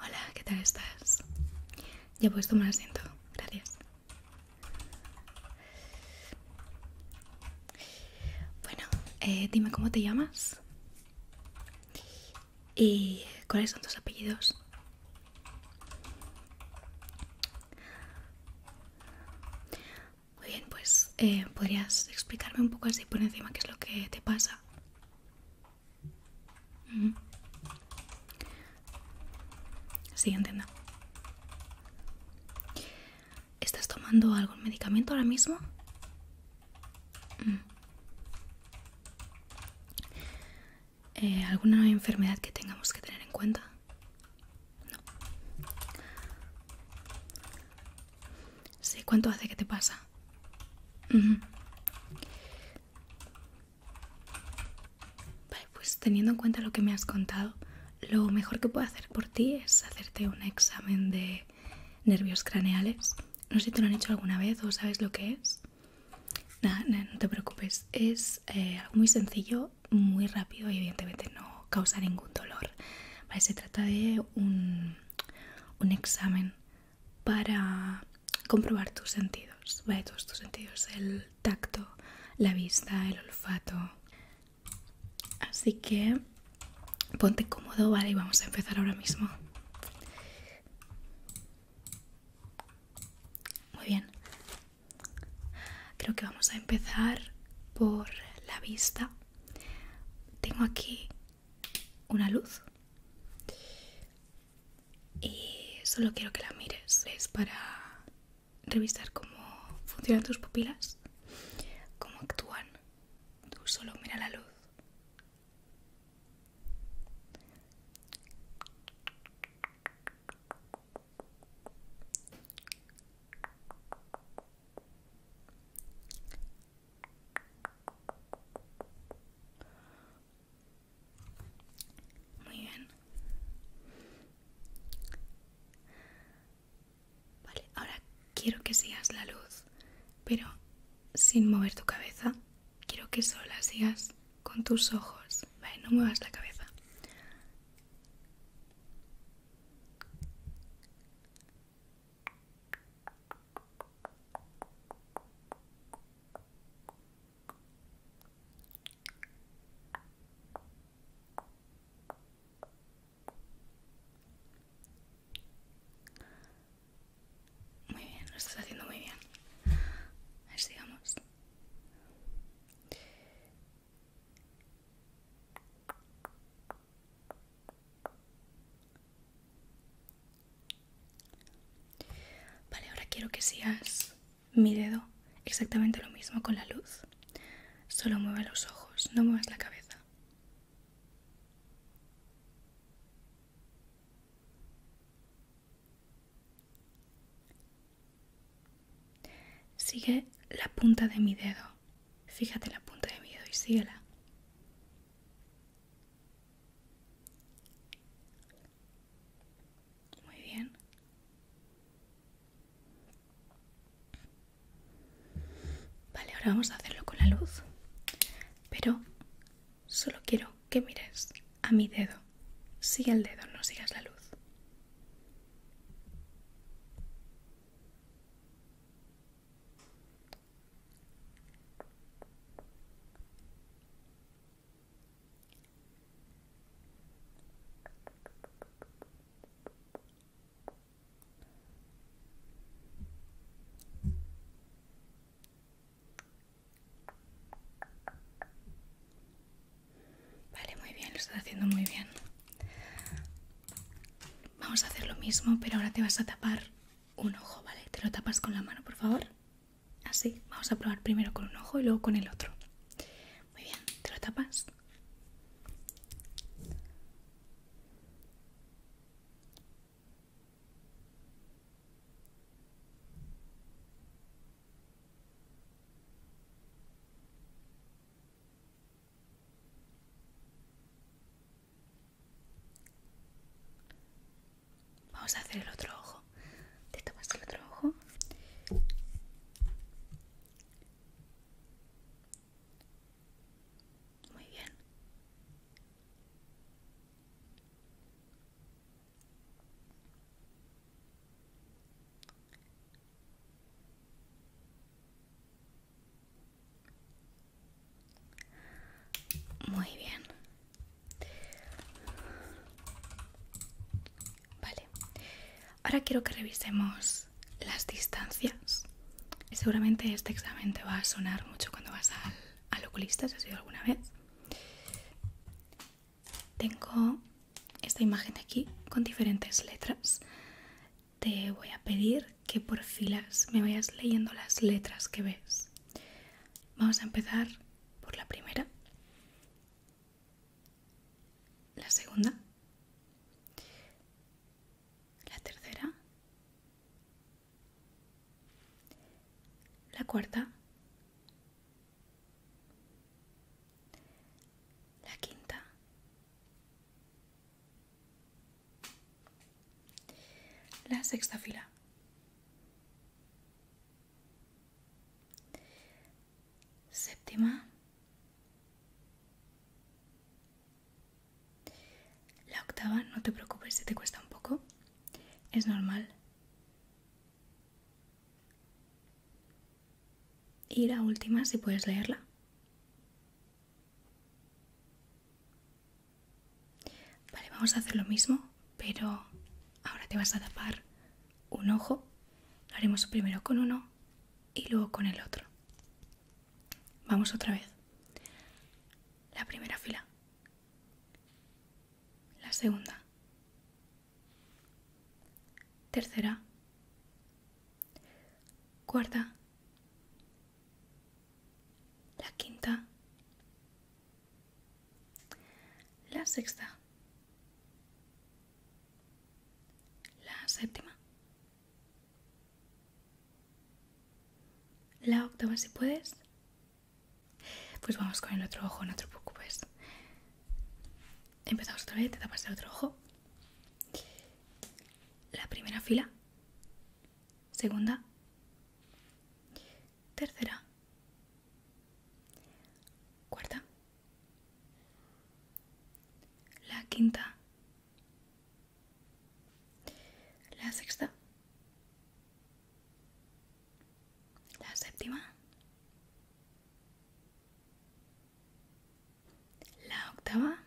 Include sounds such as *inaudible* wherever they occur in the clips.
Hola, ¿qué tal estás? Ya puedes tomar asiento, gracias. Bueno, eh, dime cómo te llamas y cuáles son tus apellidos. Muy bien, pues eh, podrías explicarme un poco así por encima qué es lo que te pasa. Sí, entiendo. ¿Estás tomando algún medicamento ahora mismo? Eh, ¿Alguna enfermedad que tengamos que tener en cuenta? No. Sí, ¿cuánto hace que te pasa? pues teniendo en cuenta lo que me has contado, lo mejor que puedo hacer por ti es hacerte un examen de nervios craneales. No sé si te lo han hecho alguna vez o sabes lo que es. Nada, no te preocupes, es eh, muy sencillo, muy rápido y evidentemente no causa ningún dolor. se trata de un, un examen para comprobar tus sentidos, todos tus sentidos, el tacto, la vista, el olfato. Así que ponte cómodo, ¿vale? Y vamos a empezar ahora mismo. Muy bien. Creo que vamos a empezar por la vista. Tengo aquí una luz y solo quiero que la mires. Es para revisar cómo funcionan tus pupilas, cómo actúan. Tú solo mira la luz muy bien. Vale, ahora quiero que sigas la luz, pero sin mover tu cabeza quiero que solo sigas con tus ojos. no muevas la cabeza. Muy bien, lo estás haciendo muy bien. A ver, sigamos. Vale, ahora quiero que sigas mi dedo exactamente lo mismo con la luz. Solo mueve los ojos, no muevas la cabeza. Sigue la punta de mi dedo. Fíjate la punta de mi dedo y síguela. Muy bien. Vale, ahora vamos a hacerlo con la luz. Pero Solo quiero que mires a mi dedo. Sigue el dedo, no sigas la luz. Vale, muy bien, lo estás haciendo muy bien. Vamos a hacer lo mismo, pero ahora te vas a tapar un ojo, ¿vale? Te lo tapas con la mano, por favor. Así, vamos a probar primero con un ojo y luego con el otro. Muy bien, te lo tapas. Vamos a hacer el otro ojo. Te tomas el otro ojo. Muy bien. Muy bien. Vale. Ahora quiero que revisemos las distancias. Seguramente este examen te va a sonar mucho cuando vas al, oculista, si has ido alguna vez. Tengo esta imagen aquí con diferentes letras. Te voy a pedir que por filas me vayas leyendo las letras que ves. Vamos a empezar por la primera, la segunda, la tercera, la cuarta. La quinta. La sexta fila. Séptima. La octava, no te preocupes si te cuesta un poco, es normal. Y la última, si puedes leerla. Vale, vamos a hacer lo mismo, pero ahora te vas a tapar un ojo. Lo haremos primero con uno y luego con el otro. Vamos otra vez. La primera fila. La segunda. Tercera. Cuarta. La quinta. La sexta. La séptima. La octava si puedes. Pues vamos con el otro ojo, no te preocupes. Empezamos otra vez, te tapas el otro ojo. La primera fila. Segunda. Tercera. Cuarta. La quinta. La sexta. La séptima. La octava.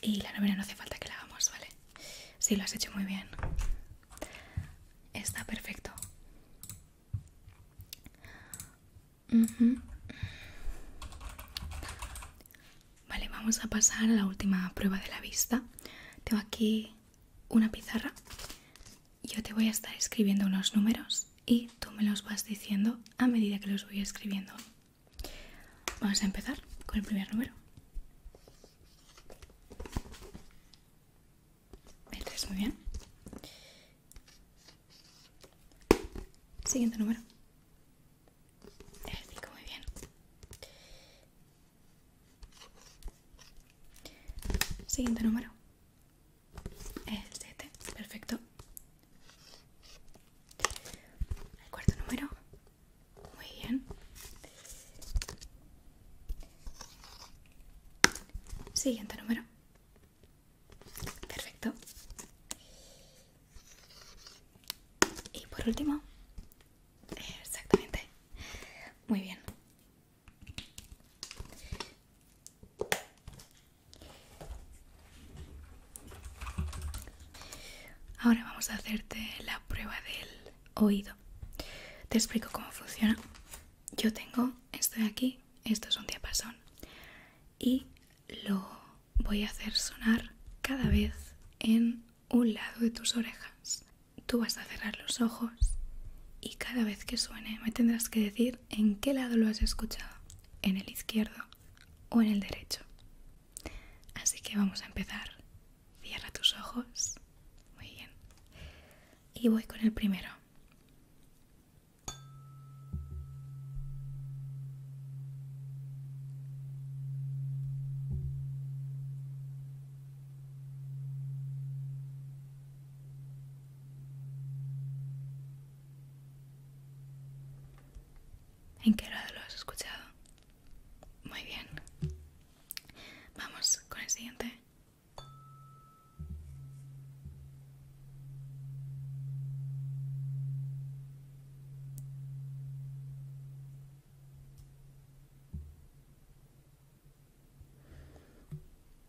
Y la novena no hace falta que la hagamos, ¿vale? Si lo has hecho muy bien. Está perfecto. Vale, vamos a pasar a la última prueba de la vista. Tengo aquí una pizarra. Yo te voy a estar escribiendo unos números y tú me los vas diciendo a medida que los voy escribiendo. Vamos a empezar con el primer número. El este muy bien. Siguiente número. El muy bien. Siguiente número. El 7. Perfecto. El cuarto número. Muy bien. Siguiente número. Perfecto. Y por último, exactamente. Muy bien. Ahora vamos a hacerte la prueba del oído. Te explico cómo funciona. Yo tengo esto de aquí, esto es un diapasón, y lo voy a hacer sonar cada vez en un lado de tus orejas. Tú vas a cerrar los ojos y cada vez que suene me tendrás que decir en qué lado lo has escuchado, en el izquierdo o en el derecho. Así que vamos a empezar. Cierra tus ojos. Muy bien. Y voy con el primero. ¿En qué lado lo has escuchado? Muy bien. Vamos con el siguiente.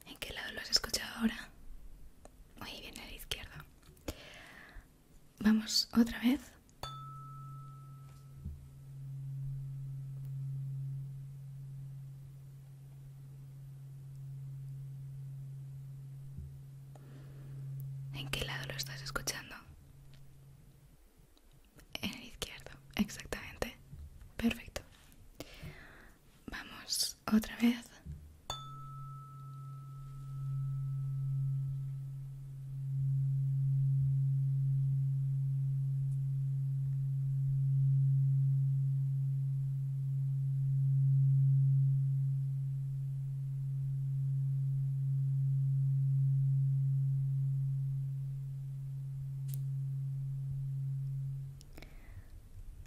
¿En qué lado lo has escuchado ahora? Muy bien, a la izquierda. Vamos otra vez. ¿En qué lado lo estás escuchando? En el izquierdo, exactamente. Perfecto. Vamos otra vez.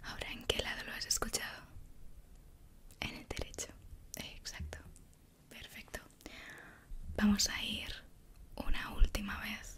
Ahora, ¿en qué lado lo has escuchado? En el derecho. Eh, exacto. Perfecto. Vamos a ir una última vez.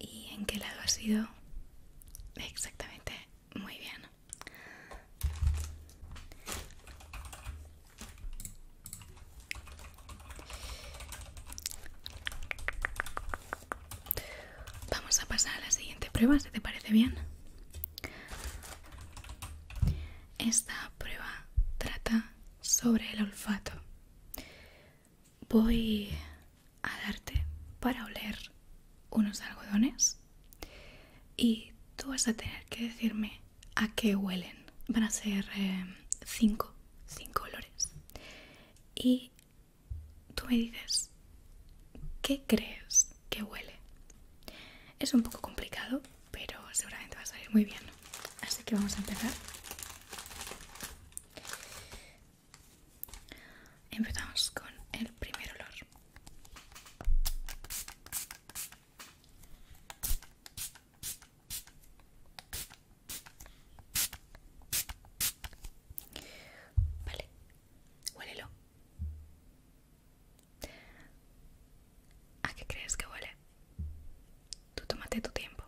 ¿Y en qué lado ha sido Exactamente. Muy bien. Vamos a pasar a la siguiente prueba, si te parece bien. Esta prueba trata sobre el olfato. Voy a darte para oler unos algodones y tú vas a tener que decirme a qué huelen. Van a ser eh, cinco, cinco olores. Y tú me dices, ¿qué crees que huele? Es un poco complicado, pero seguramente va a salir muy bien. Así que vamos a empezar. Empezamos con el primer olor. Vale, huélelo. ¿A qué crees que huele? Tú tómate tu tiempo.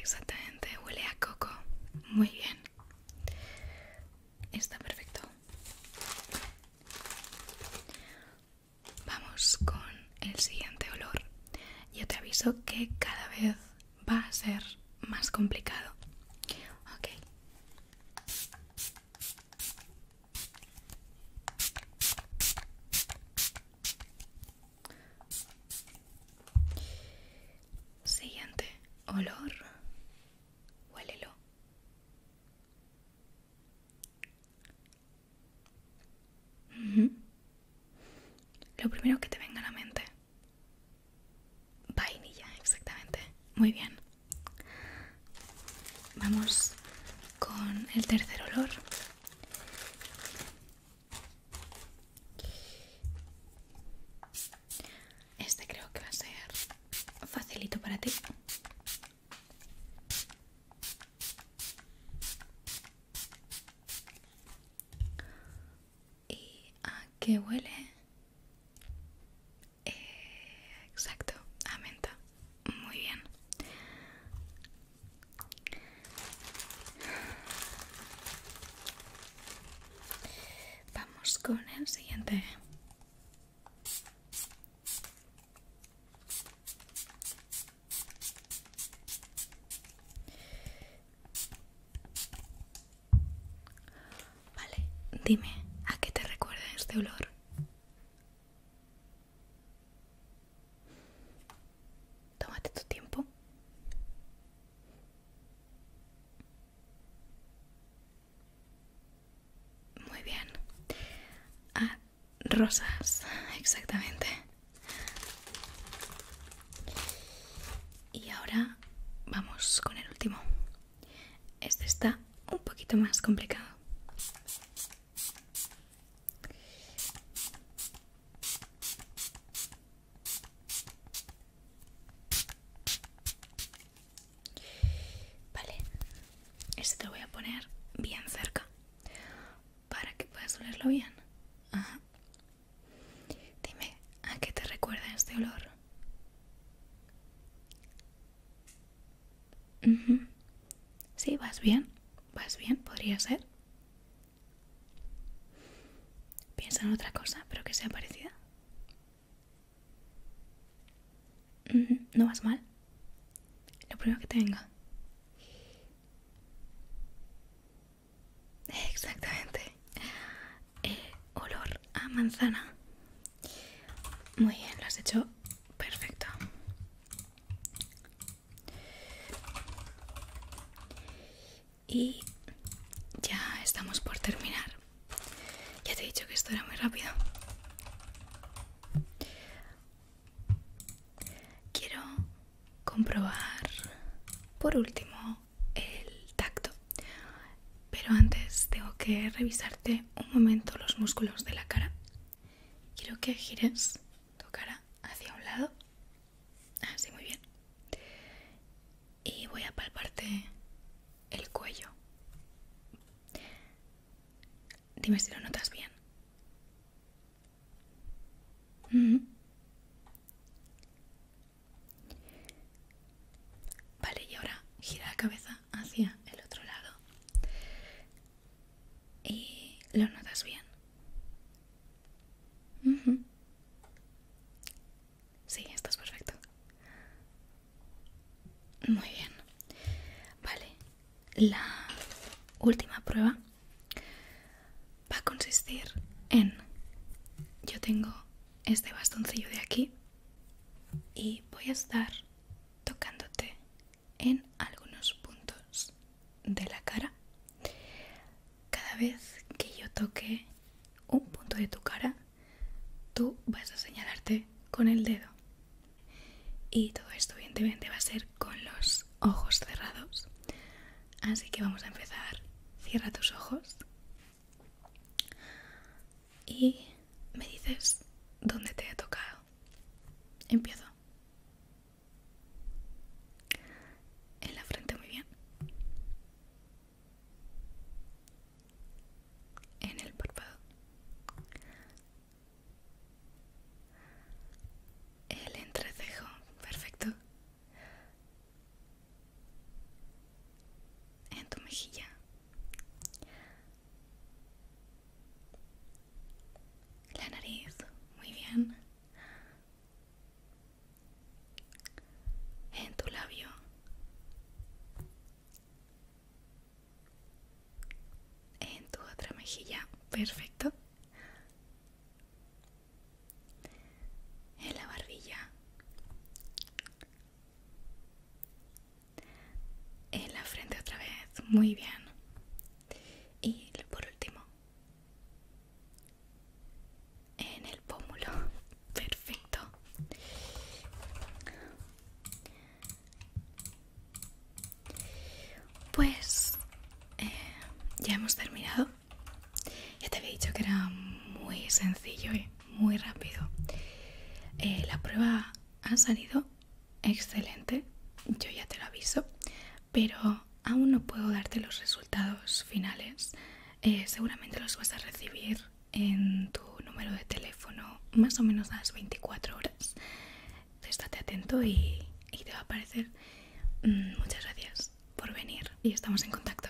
Exactamente, huele a coco. Muy bien. Está perfecto. Vamos con el siguiente olor. Yo te aviso que cada vez va a ser más complicado. Ok. Siguiente olor, huélelo. Lo primero que te venga a la mente. Vainilla, exactamente. Muy bien. Vamos con el tercer olor. Este creo que va a ser facilito para ti. ¿Y a qué huele? Eh, exacto, a menta. Muy bien. Vamos con el siguiente. Vale, dime, ¿a qué te recuerda este olor? Tómate tu tiempo. Muy bien. a ah, rosas, exactamente. Y ahora vamos con el último. Este está un poquito más complicado. Vale, este te lo voy a poner bien cerca para que puedas olerlo bien. Dime, ¿a qué te recuerda este olor? Sí, vas bien, vas bien, podría ser. Piensa en otra cosa, pero que sea parecida. No vas mal. Lo primero que te tenga. *laughs* Exactamente. Eh, olor a manzana. Muy bien, lo has hecho perfecto y ya estamos por terminar ya te he dicho que esto era muy rápido quiero comprobar por último el tacto pero antes tengo que revisarte un momento los músculos de la cara. Quiero que gires tu cara hacia un lado. Así, ah, muy bien. Y voy a palparte el cuello. Dime si lo notas bien. Vale, y ahora gira la cabeza hacia el otro lado y lo notas bien. si Sí, estás perfecto. Muy bien. Vale, la última prueba va a consistir en... Yo tengo este bastoncillo de aquí y voy a estar tocándote en algunos puntos de la cara. Cada vez que yo toque un punto de tu cara, tú vas a señalarte con el dedo. Y todo esto evidentemente va a ser con los ojos cerrados. Así que vamos a empezar. Cierra tus ojos y me dices dónde te he tocado. Empiezo. En la frente muy bien. En el párpado. El entrecejo, perfecto. En tu mejilla. La nariz, muy bien. En tu labio. En tu otra mejilla, perfecto. En la barbilla en la frente otra vez, muy bien. Y por último, en el pómulo, *laughs* perfecto. Pues eh, ya hemos terminado. Ya te había dicho que era muy sencillo y muy rápido. Eh, la prueba ha salido excelente, yo ya te lo aviso, pero aún no puedo darte los resultados finales. Eh, seguramente los vas a recibir en tu número de teléfono más o menos a las 24 horas. Estate atento y, te va a aparecer. Mm, muchas gracias por venir y estamos en contacto.